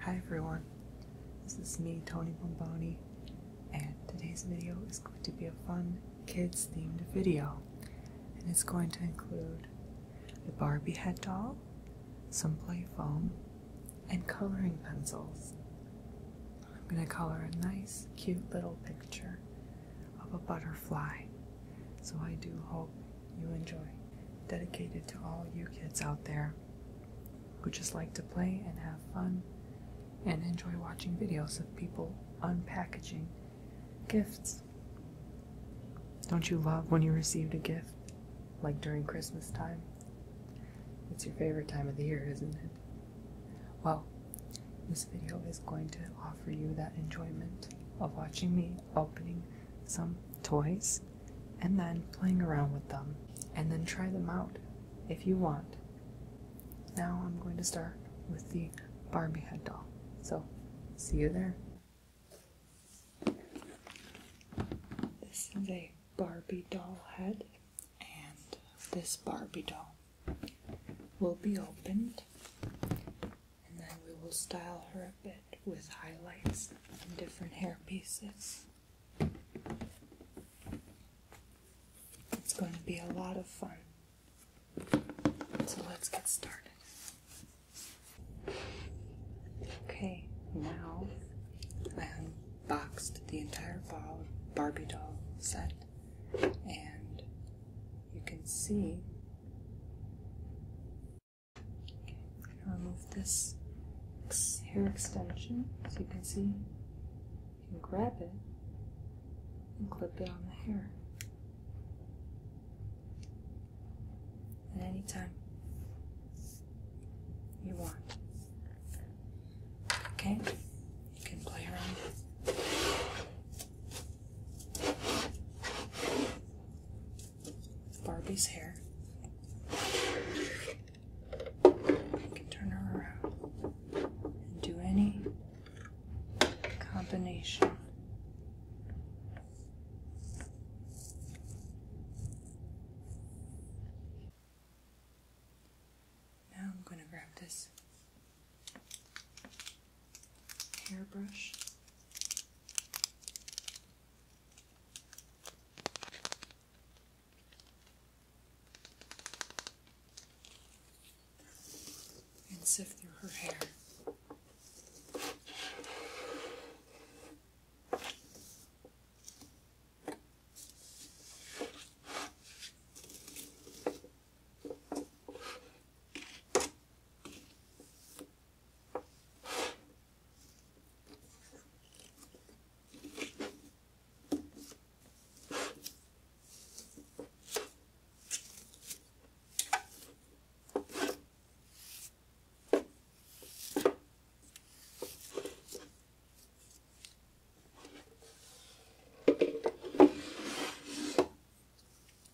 Hi everyone, this is me, Tony Bomboni, and today's video is going to be a fun kids themed video. And it's going to include a Barbie head doll, some play foam, and coloring pencils. I'm going to color a nice, cute little picture of a butterfly. So I do hope you enjoy, dedicated to all you kids out there who just like to play and have fun and enjoy watching videos of people unpackaging gifts. Don't you love when you received a gift, like during Christmas time? It's your favorite time of the year, isn't it? Well, this video is going to offer you that enjoyment of watching me opening some toys and then playing around with them and then try them out if you want. Now I'm going to start with the Barbie head doll. So, see you there. This is a Barbie doll head, and this Barbie doll will be opened and then we will style her a bit with highlights and different hair pieces. It's going to be a lot of fun. So let's get started. Okay, now I unboxed the entire Barbie doll set, and you can see I'm going to remove this hair extension so you can see. You can grab it and clip it on the hair at any time you want. Okay? You can play around. Barbie's hair. I can turn her around and do any combination. Now I'm going to grab this hairbrush and sift through her hair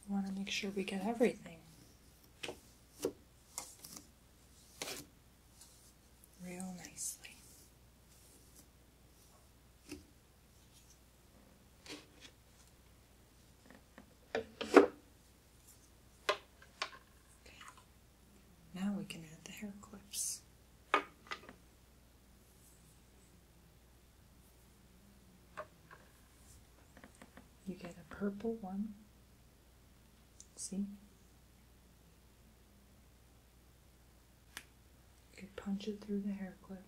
want to make sure we get everything real nicely. Okay. Now we can add the hair clips. You get a purple one See? You could punch it through the hair clip.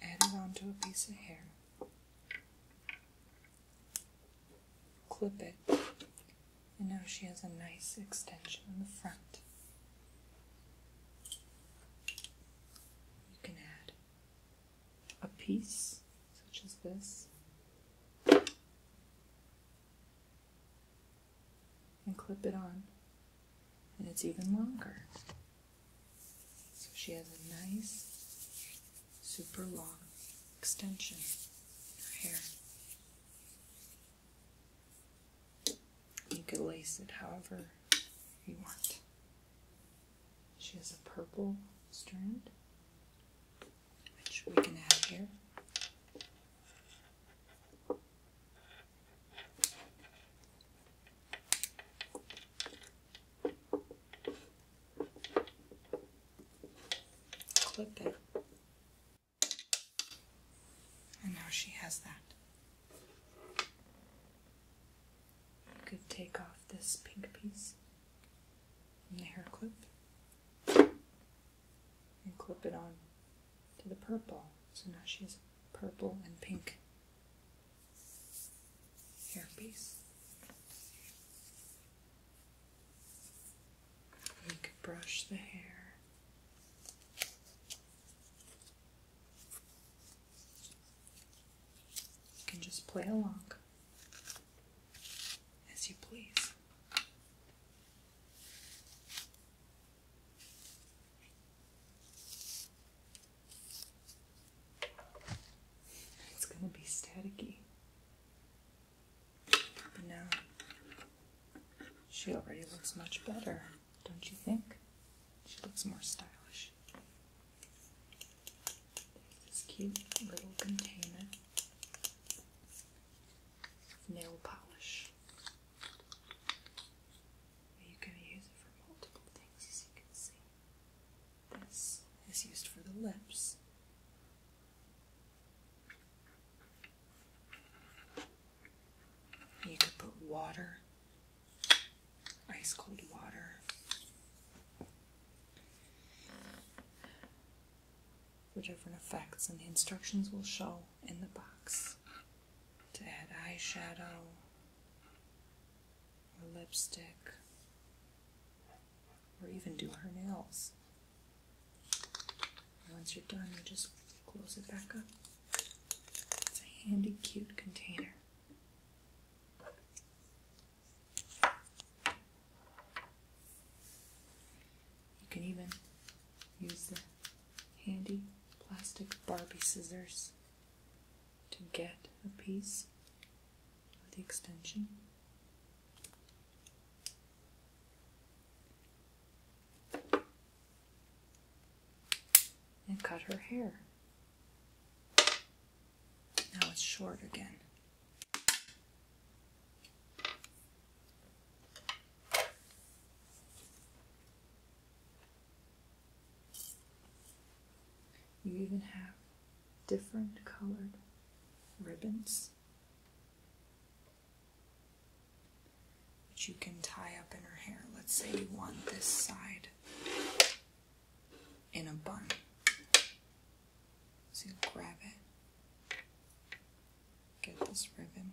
Add it onto a piece of hair. Clip it. And now she has a nice extension in the front. You can add a piece such as this and clip it on and it's even longer so she has a nice super long extension in her hair you could lace it however you want. She has a purple strand, which we can add here. Clip it. And now she has that. You could take off this pink piece and the hair clip and clip it on to the purple. So now she has purple and pink hair piece. could brush the hair. You can just play along as you please. It's going to be staticky. But she already looks much better don't you think? She looks more stylish. this cute little container nail polish. You can use it for multiple things, as you can see. This is used for the lips. You could put water ice cold water. For different effects, and the instructions will show in the box to add eyeshadow or lipstick or even do her nails. once you're done, you just close it back up. It's a handy, cute container. You can even use the handy plastic Barbie scissors to get a piece of the extension. And cut her hair. Now it's short again. You even have different colored ribbons which you can tie up in her hair. Let's say you want this side in a bun. So grab it, get this ribbon,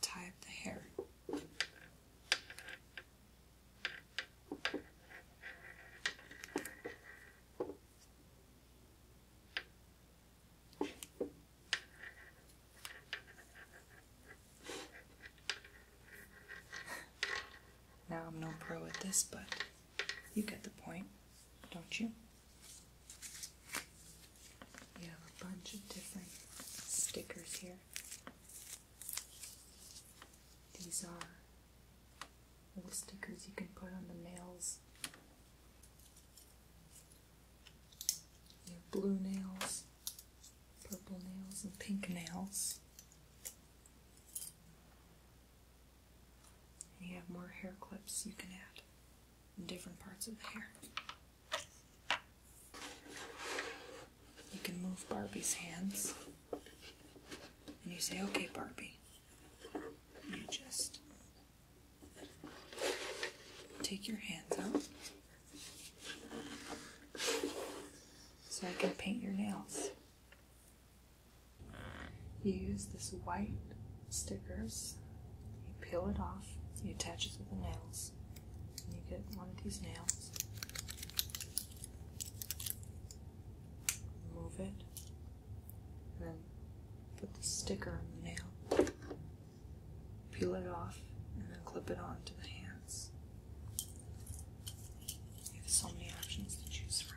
tie up the hair. Now I'm no pro at this, but you get the point, don't you? You have a bunch of different stickers here. These are little stickers you can put on the nails you have blue nails, purple nails, and pink nails. you have more hair clips you can add in different parts of the hair. You can move Barbie's hands. And you say, okay, Barbie. You just Take your hands out so I can paint your nails. You use this white stickers, you peel it off, you attach it to the nails, and you get one of these nails. Move it, and then put the sticker on the nail peel it off, and then clip it onto the hands. You have so many options to choose from.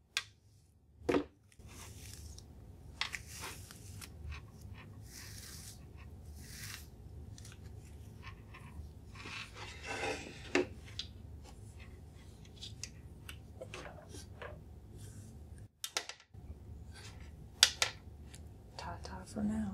Ta ta for now.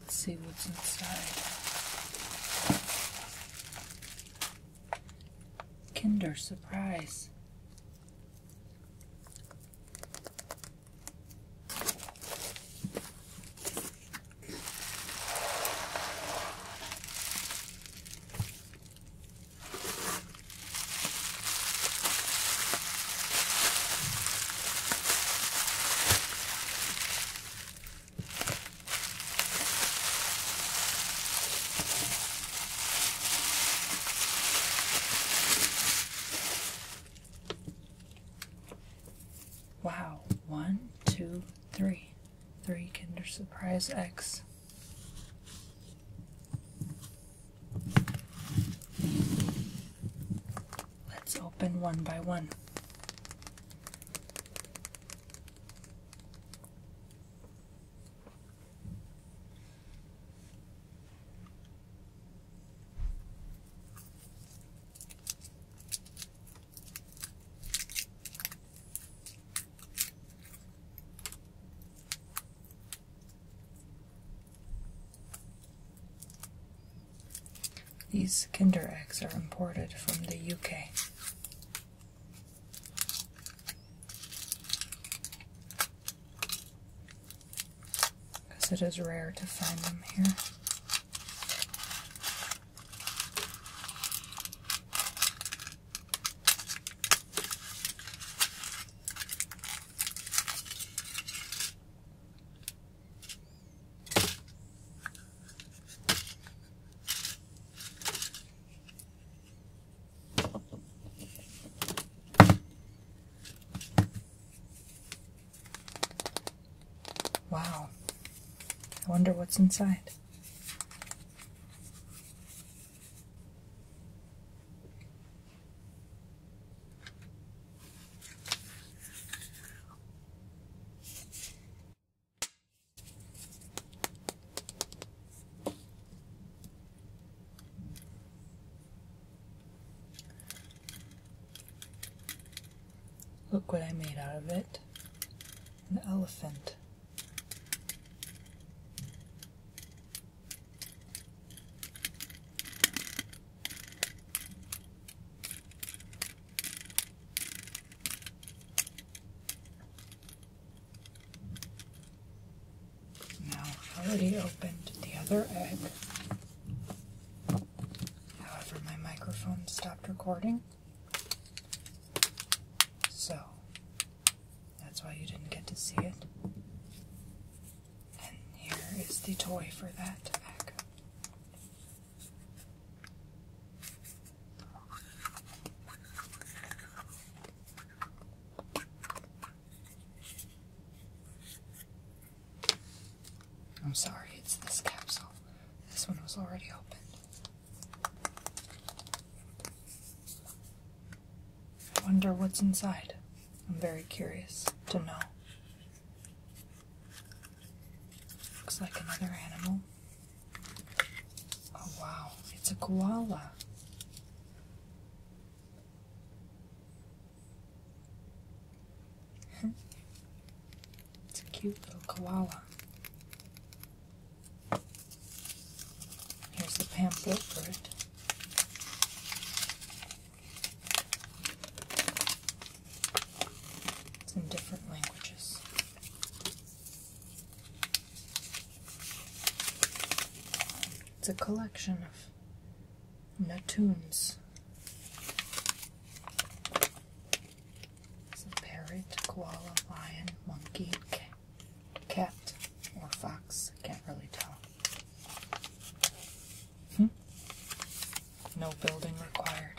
Let's see what's inside. Kinder Surprise. Wow, One, two, three, three three. Three Kinder Surprise X. Let's open one by one. These Kinder eggs are imported from the UK. Because it is rare to find them here. Wow. I wonder what's inside. Look what I made out of it an elephant. Now I've already opened the other egg. However, my microphone stopped recording. So that's why you didn't get to see it. And here is the toy for that tobacco. I'm sorry, it's this capsule. This one was already opened. I wonder what's inside. I'm very curious to know. Looks like another animal. Oh wow, it's a koala. it's a cute little koala. Here's the pamphlet for it. It's in different languages. It's a collection of Natunes. It's a parrot, koala, lion, monkey, cat or fox. Can't really tell. Hmm? No building required.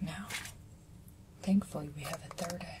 Now, thankfully, we have a third egg.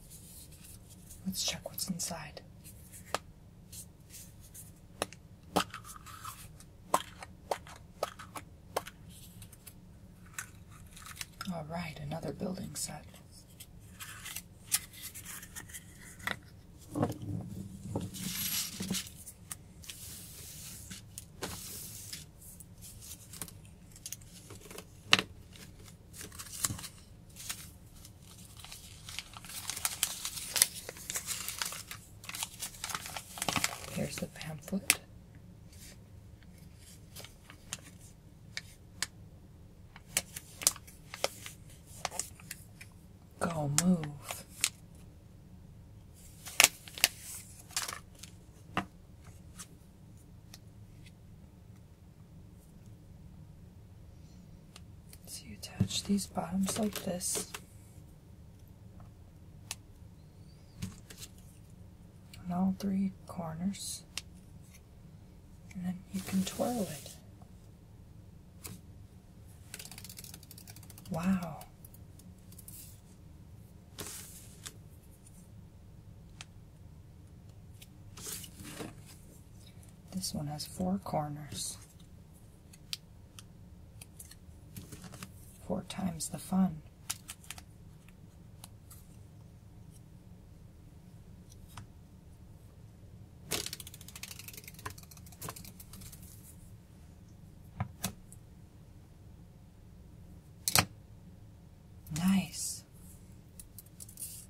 Let's check what's inside. All right, another building set. Here's the pamphlet. Go move. So you attach these bottoms like this. On all three corners. And then you can twirl it. Wow. This one has four corners. Four times the fun. Nice this.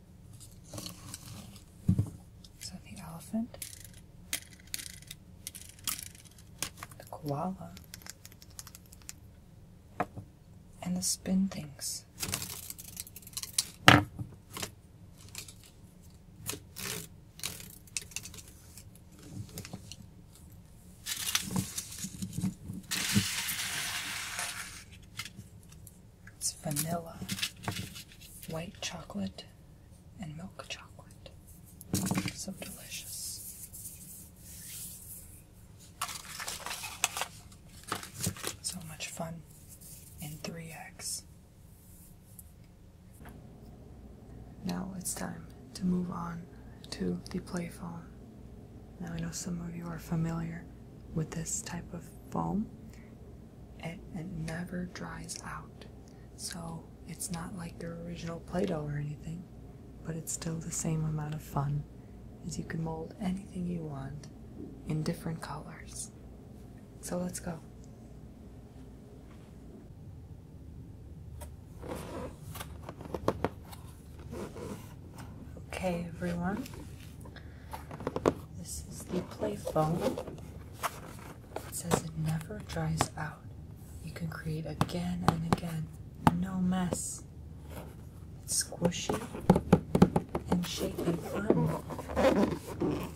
So the elephant, the koala, and the spin things. It's vanilla, white chocolate, and milk chocolate. So delicious. So much fun in 3X. Now it's time to move on to the play phone. Now I know some of you are familiar with this type of phone it, it never dries out. So it's not like their original Play Doh or anything, but it's still the same amount of fun as you can mold anything you want in different colors. So let's go. Okay, everyone, this is the Play Foam. It says it never dries out. You can create again and again. No mess. squishy and shaped fun.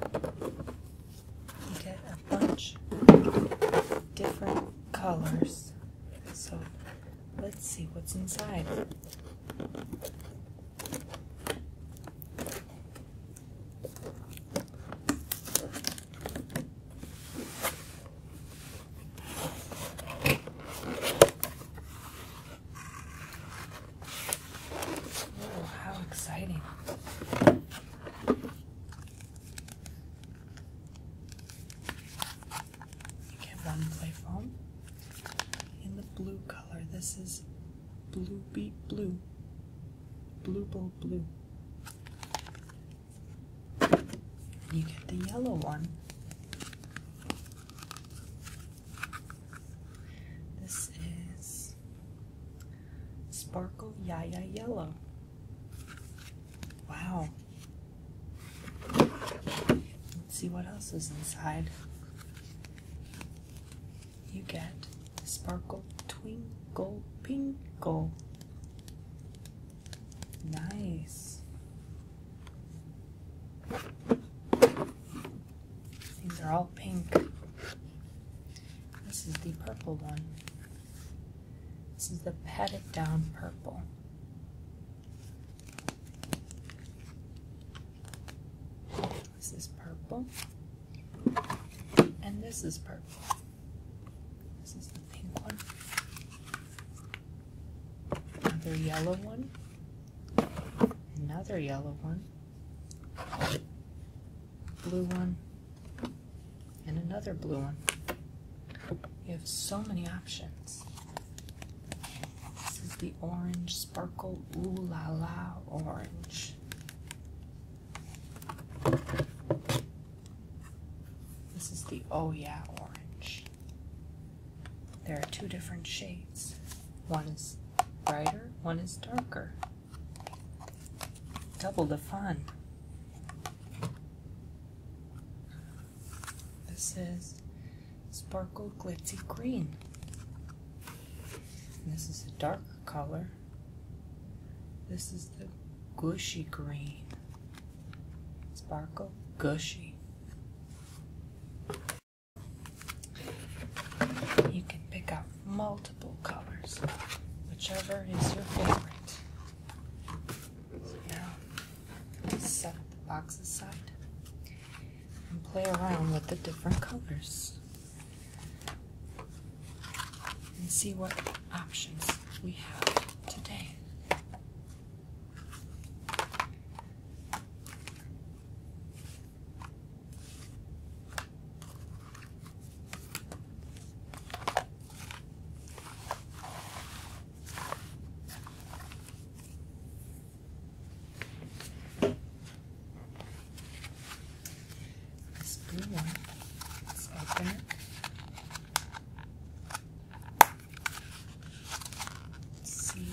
You get a bunch of different colors. So let's see what's inside. Oh, how exciting. You get one play foam in the blue color. This is blue beet blue. Blue bowl blue. You get the yellow one. This is Sparkle Yaya Yellow. Wow. Let's see what else is inside. You get Sparkle Twinkle Pinkle. Nice. These are all pink. This is the purple one. This is the Pat It Down Purple. This is purple. And this is purple. This is the pink one. Another yellow one. Another yellow one blue one, and another blue one. You have so many options. This is the orange sparkle ooh la la orange. This is the oh yeah orange. There are two different shades. One is brighter, one is darker. Double the fun. This is Sparkle Glitzy Green. this is a darker color. This is the Gushy Green. Sparkle Gushy. You can pick up multiple colors, whichever is your favorite. now, set the box aside and play around with the different colors and see what options we have today. This blue one, let's open it. Let's see.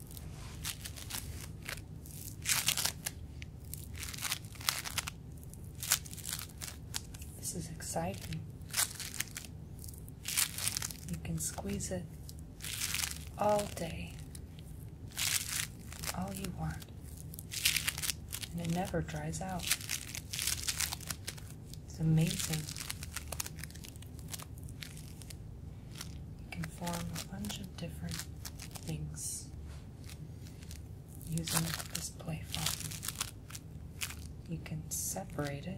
This is exciting. You can squeeze it all day, all you want, and it never dries out. It's amazing. You can form a bunch of different things using this play foam. You can separate it.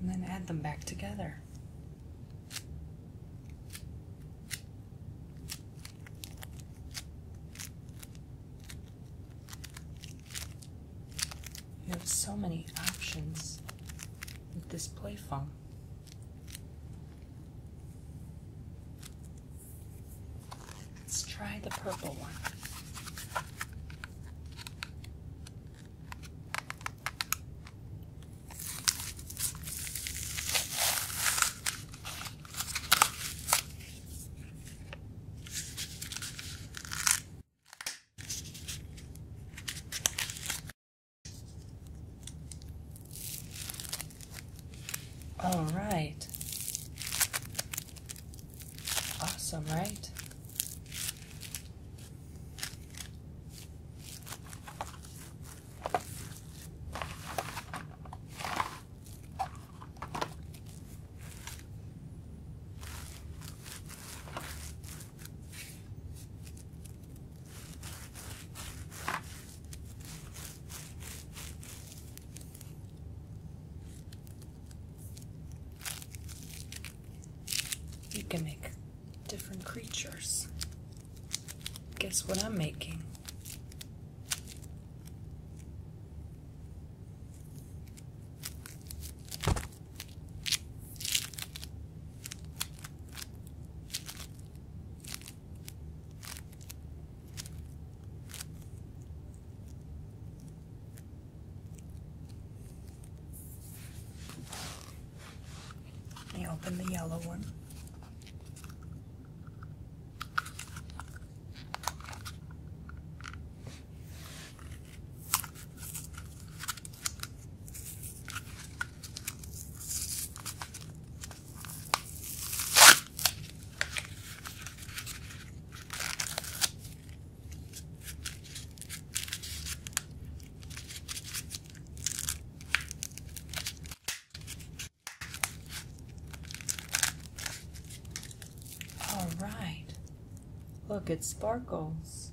And then add them back together. You have so many options with this play foam. Let's try the purple one. All right. Awesome, right? You can make different creatures Guess what I'm making? Let me open the yellow one. All right. Look, it sparkles.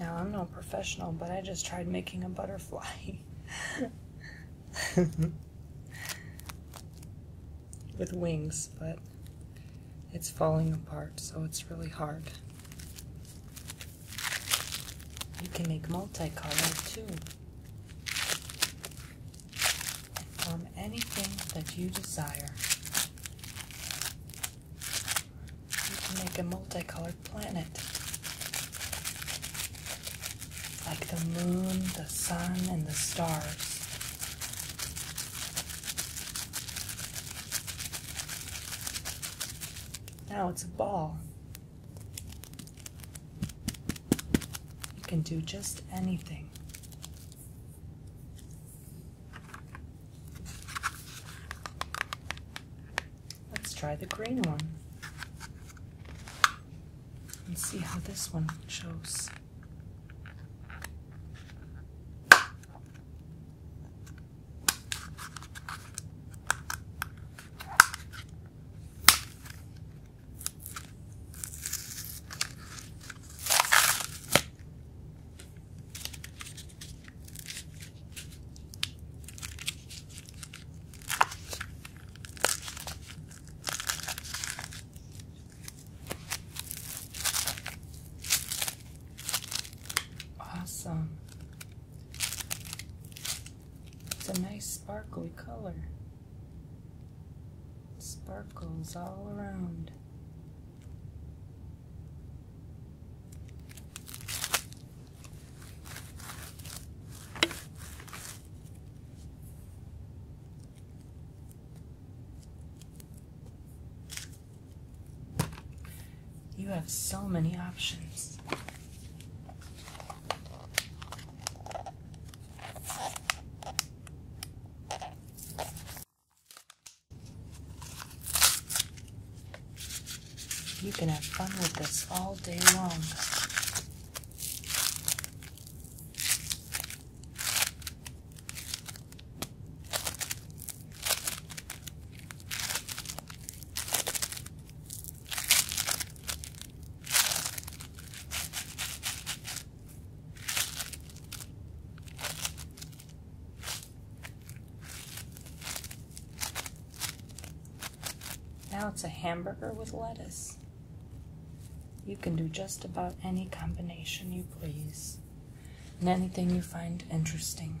Now, I'm no professional, but I just tried making a butterfly. With wings, but it's falling apart, so it's really hard. You can make multicolored too. From anything that you desire. You can make a multicolored planet. Like the moon, the sun, and the stars. Now it's a ball. You can do just anything. Let's try the green one and see how this one shows. Awesome. It's a nice sparkly color. Sparkles all around. You have so many options. You can have fun with this all day long. Now it's a hamburger with lettuce. You can do just about any combination you please, and anything you find interesting.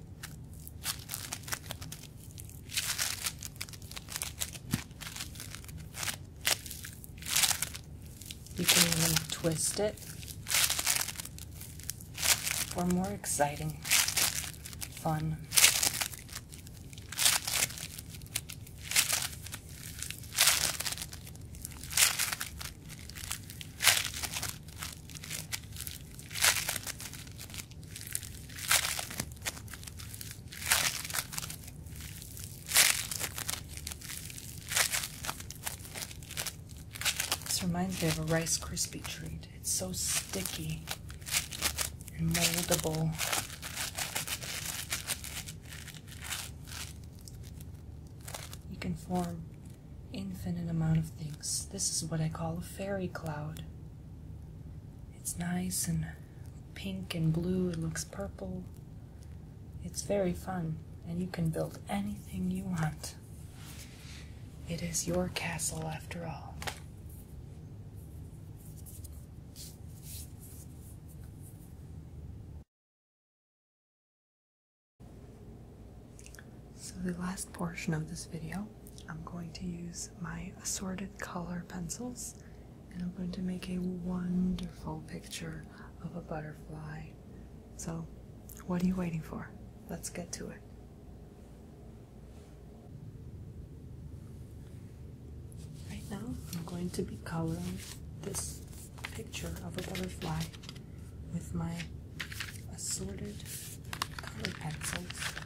You can even twist it for more exciting fun. This reminds me of a Rice Krispie treat. It's so sticky and moldable. You can form infinite amount of things. This is what I call a fairy cloud. It's nice and pink and blue, it looks purple. It's very fun, and you can build anything you want. It is your castle after all. So the last portion of this video, I'm going to use my assorted color pencils and I'm going to make a wonderful picture of a butterfly. So what are you waiting for? Let's get to it. Right now, I'm going to be coloring this picture of a butterfly with my assorted color pencils.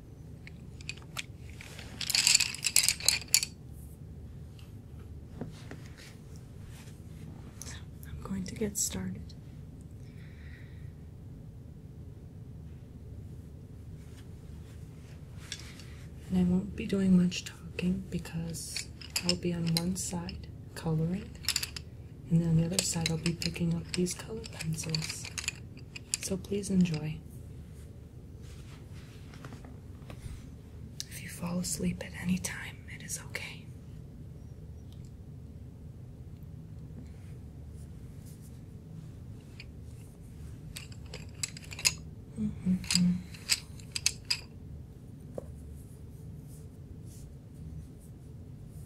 I'm going to get started. And I won't be doing much talking because I'll be on one side coloring, and then on the other side, I'll be picking up these colored pencils so please enjoy. If you fall asleep at any time, it is okay.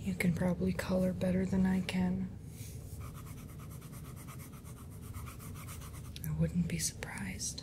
You can probably color better than I can. I wouldn't be surprised.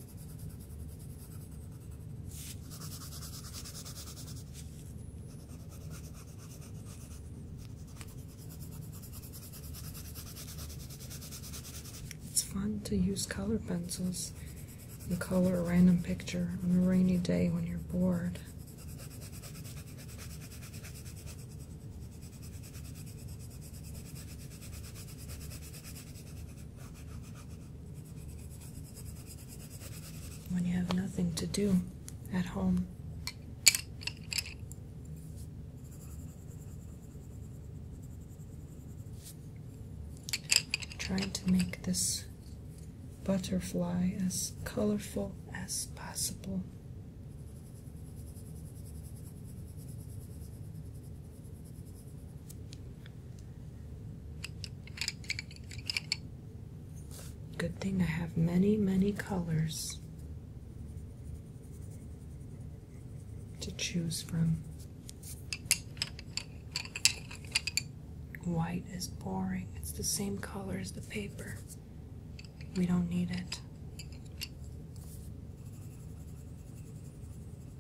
It's fun to use color pencils and color a random picture on a rainy day when you're bored when you have nothing to do at home. Trying to make this butterfly as colorful as possible. Good thing I have many, many colors to choose from. White is boring, it's the same color as the paper. We don't need it.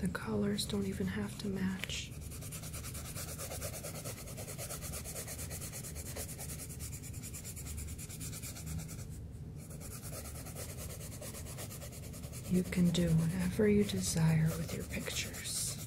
The colors don't even have to match. You can do whatever you desire with your pictures.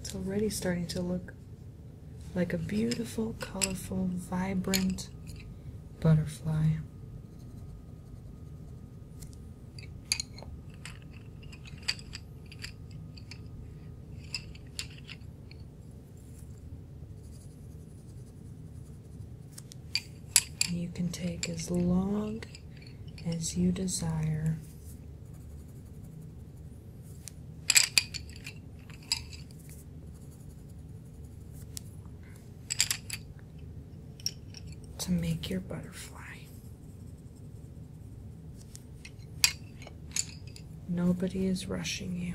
It's already starting to look like a beautiful, colorful, vibrant butterfly. You can take as long as you desire to make your butterfly. Nobody is rushing you.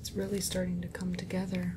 It's really starting to come together.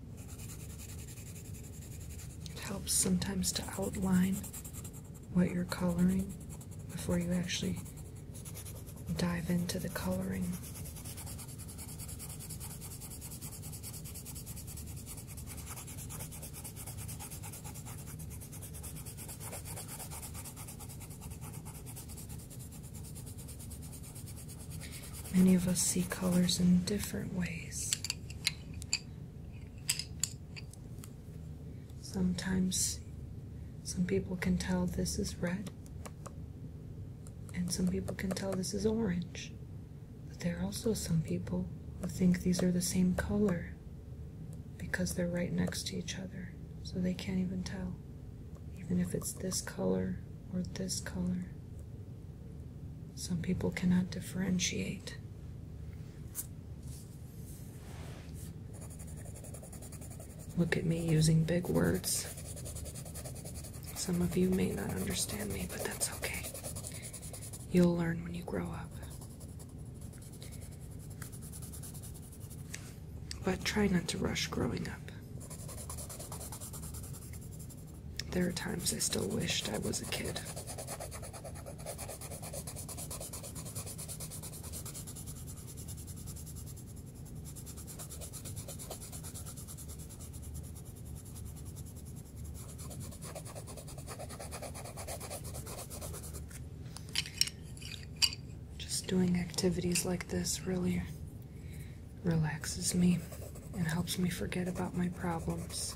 It helps sometimes to outline what you're coloring before you actually dive into the coloring. Many of us see colors in different ways. Sometimes some people can tell this is red, and some people can tell this is orange. But there are also some people who think these are the same color because they're right next to each other, so they can't even tell, even if it's this color or this color. Some people cannot differentiate. Look at me using big words. Some of you may not understand me, but that's okay. You'll learn when you grow up. But try not to rush growing up. There are times I still wished I was a kid. Just doing activities like this really relaxes me and helps me forget about my problems.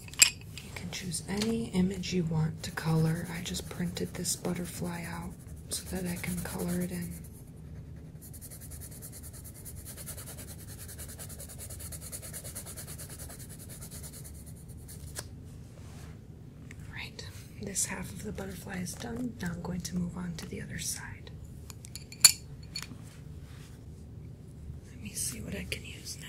You can choose any image you want to color. I just printed this butterfly out so that I can color it in. Right, this half of the butterfly is done. Now I'm going to move on to the other side. Let me see what I can use now.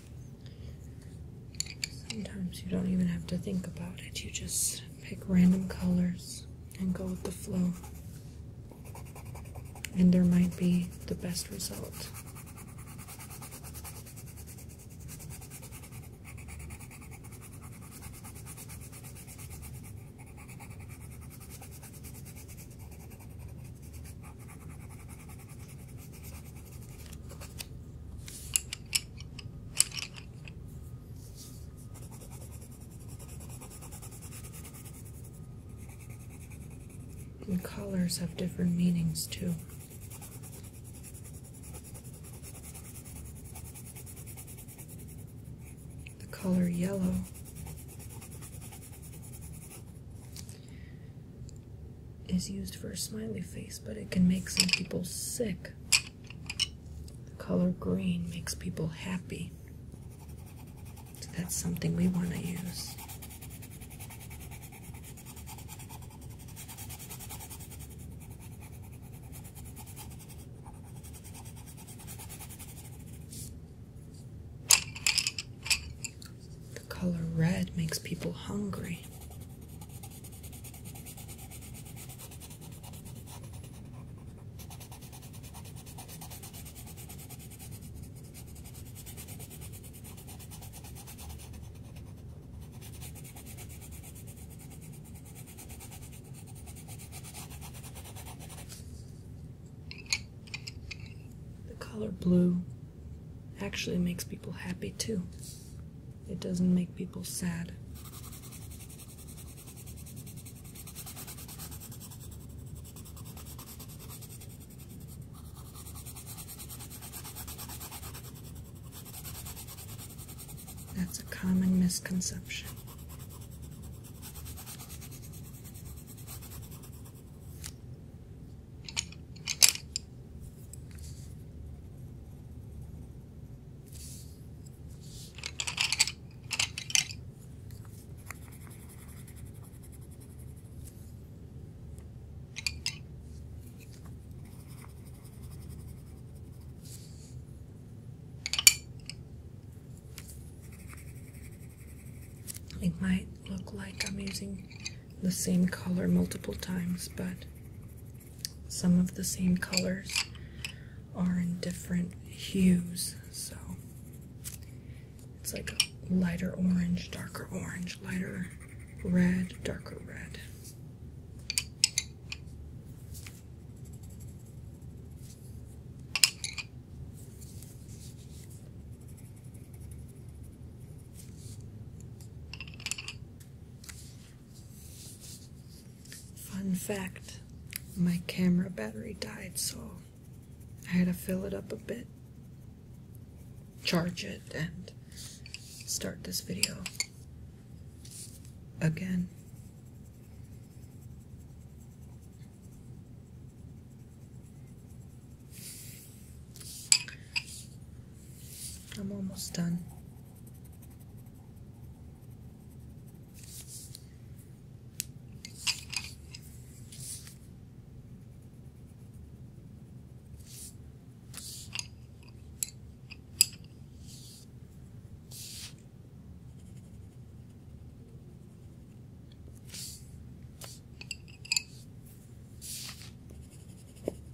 Sometimes you don't even have to think about it, you just pick random colors and go with the flow. And there might be the best result. And colors have different meanings too. The color yellow is used for a smiley face, but it can make some people sick. The color green makes people happy. that's something we want to use. The color red makes people hungry. The color blue actually makes people happy too. It doesn't make people sad. That's a common misconception. It might look like I'm using the same color multiple times, but some of the same colors are in different hues, so it's like a lighter orange, darker orange, lighter red, darker red. Fun fact my camera battery died, so I had to fill it up a bit, charge it, and start this video again. I'm almost done.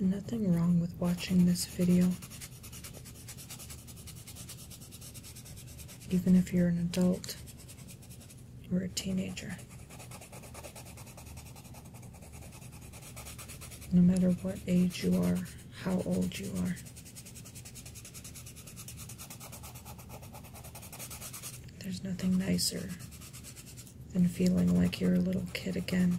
Nothing wrong with watching this video. Even if you're an adult or a teenager no matter what age you are, how old you are. There's nothing nicer than feeling like you're a little kid again.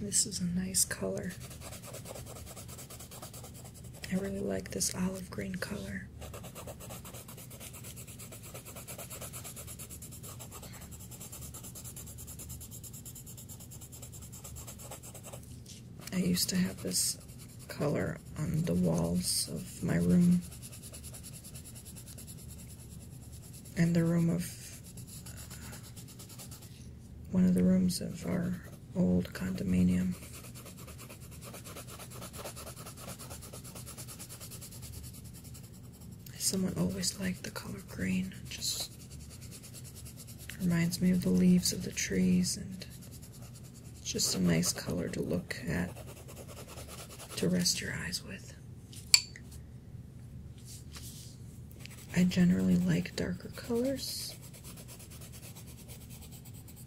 This is a nice color. I really like this olive green color. I used to have this color on the walls of my room and the room of one of the rooms of our old condominium. Someone always liked the color green. just reminds me of the leaves of the trees and it's just a nice color to look at, to rest your eyes with. I generally like darker colors,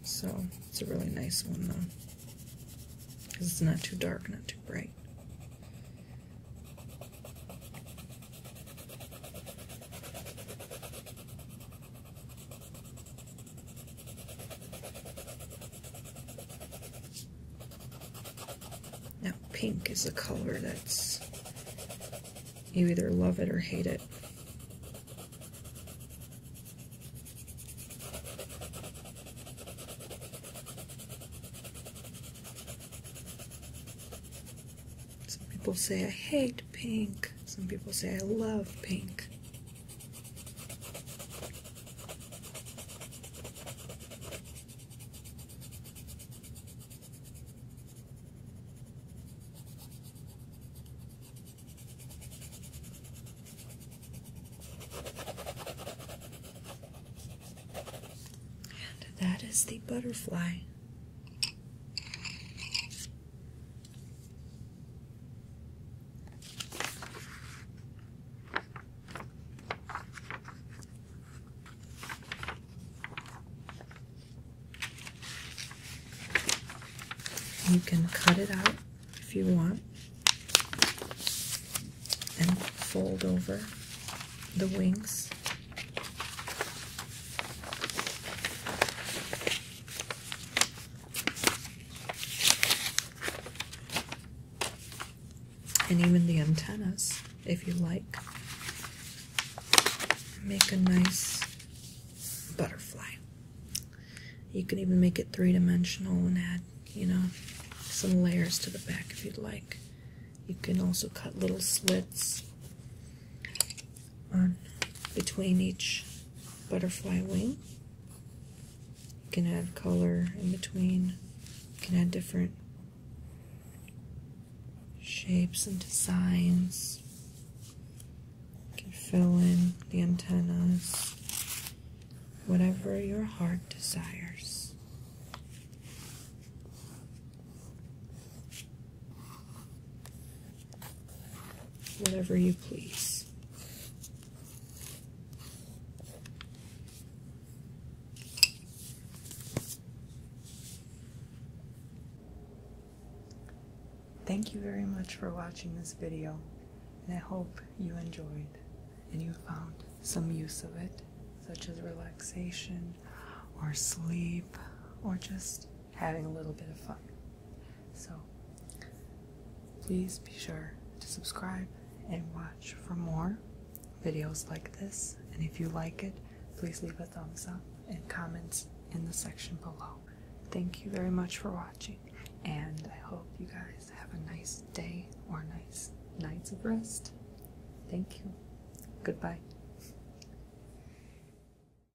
so it's a really nice one though, because it's not too dark, not too bright. Now, pink is a color that's you either love it or hate it. Some people say I hate pink. Some people say I love pink. And that is the butterfly. You can cut it out if you want and fold over the wings. And even the antennas, if you like, make a nice butterfly. You can even make it three dimensional and add, you know, some layers to the back if you'd like. You can also cut little slits on between each butterfly wing. You can add color in between. You can add different shapes and designs. You can fill in the antennas. Whatever your heart desires. Whatever you please. Thank you very much for watching this video, and I hope you enjoyed and you found some use of it, such as relaxation or sleep or just having a little bit of fun. So please be sure to subscribe and watch for more videos like this. And if you like it, please leave a thumbs up and comments in the section below. Thank you very much for watching, and I hope you guys have a nice day or nice nights of rest. Thank you. Goodbye.